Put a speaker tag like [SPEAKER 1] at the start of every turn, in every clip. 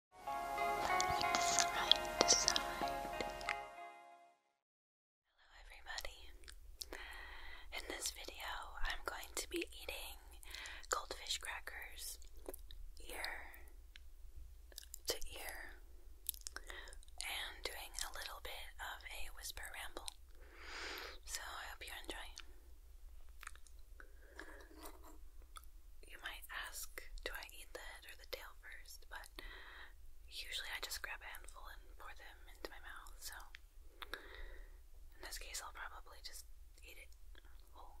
[SPEAKER 1] Hello everybody. In this video, I'm going to be eating goldfish crackers ear to ear and doing a little bit of a whisper ramble. So I hope you enjoy. You might ask, do I eat the head or the tail first? But usually I just grab a handful and pour them into my mouth, so in this case I'll probably just eat it whole.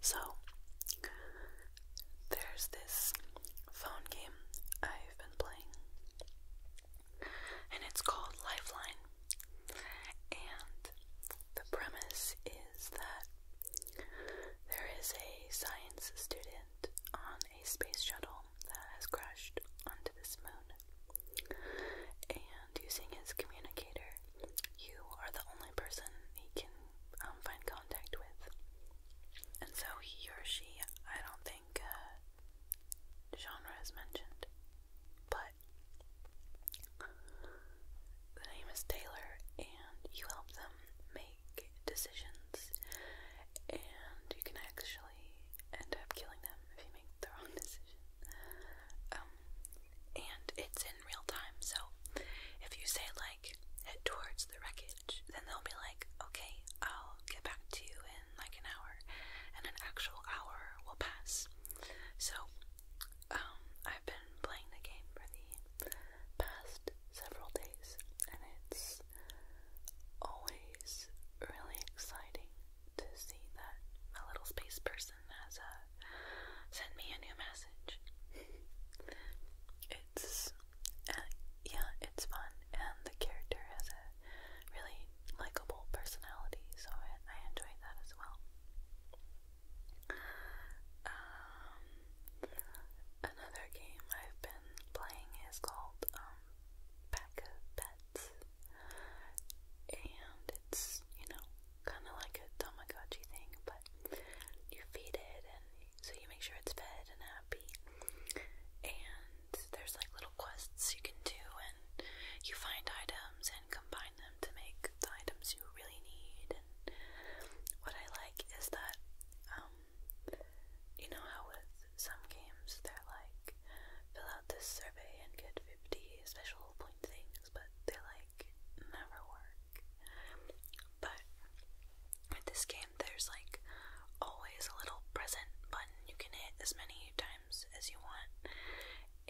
[SPEAKER 1] So, there's this phone game I've been playing, and it's called Lifeline. And the premise is that there is a science student on a space shuttle that has crashed onto this moon, and using his communicator, you are the only person he can um, find contact with. And so he or she, I don't think uh, genre is mentioned, but the name is Taylor, and you help them make decisions, and you can actually end up killing them if you make the wrong decision. Um, and it's in real time. So if you say like head towards the wreckage, then they'll be like, okay, I'll get back to you in like an hour, and an actual hour will pass. So um, I've been playing the game for the past several days, and it's always really exciting to see that my little space person has a uh, send me a new message. it's uh, yeah, it's fun, and the character has a really likable personality, so I, I enjoy that as well. Um, another game I've been playing is called um, Pack of Pets and it's you know kind of like a Tamagotchi thing, but you feed it, and so you make sure it's fed and happy. And there's like little quests you can do, and you find items and combine them to make the items you really need. And what I like is that, um, you know how with some games they're like, fill out this survey and get 50 special point things, but they like never work. But with this game, there's like always a little present button you can hit as many times as you want,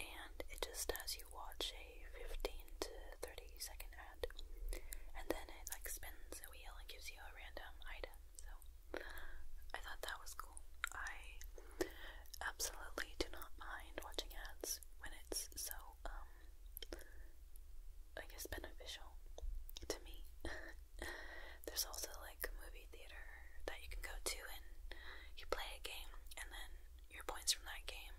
[SPEAKER 1] and it just has you watch a 15 to 30 second ad, and then it like spins a wheel and gives you a random item. So I thought that was cool. I absolutely do not mind watching ads when it's so, um, I guess beneficial to me. There's also like a movie theater that you can go to and you play a game and then your points from that game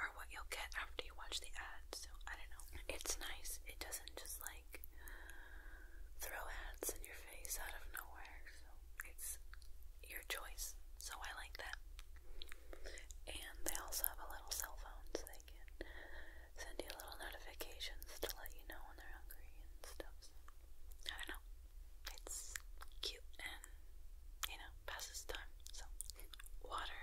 [SPEAKER 1] are what you'll get after you watch the ad. So I don't know. It's nice. It doesn't just like throw ads in your face out of nowhere. So it's your choice, so I like that. And they also have a little cell phone so they can send you little notifications to let you know when they're hungry and stuff. I don't know. It's cute and, you know, passes time. So, water.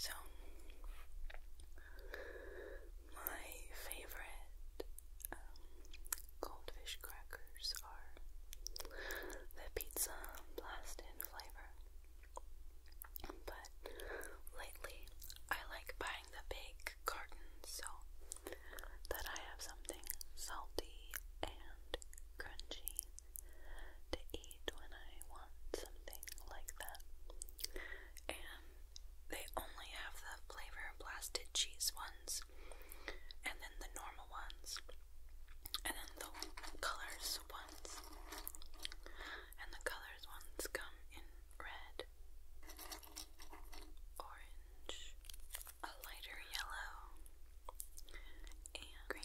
[SPEAKER 1] So, my favorite um, goldfish crackers are the pizza blasted flavor. But lately, I like buying the big cartons so that I have something salty and crunchy to eat when I want something like that. And they only have the flavor blasted cheese one and then the normal ones, and then the colors ones. And the colors ones come in red, orange, a lighter yellow, and green.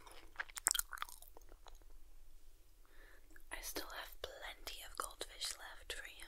[SPEAKER 1] I still have plenty of goldfish left for you.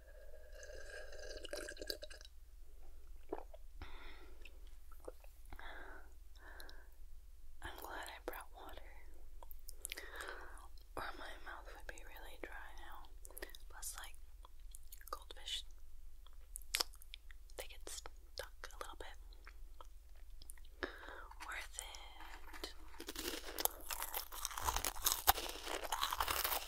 [SPEAKER 1] I'm glad I brought water, or my mouth would be really dry now. Plus, like, goldfish, they get stuck a little bit. Worth it.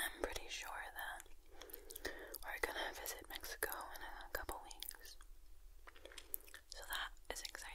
[SPEAKER 1] I'm pretty sure that we're gonna visit Mexico in a couple weeks. So that is exciting.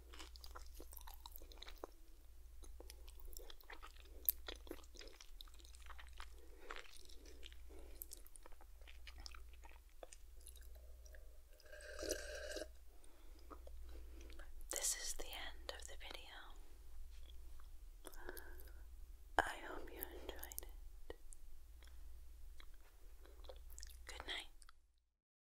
[SPEAKER 1] This is the end of the video. I hope you enjoyed it. Good night.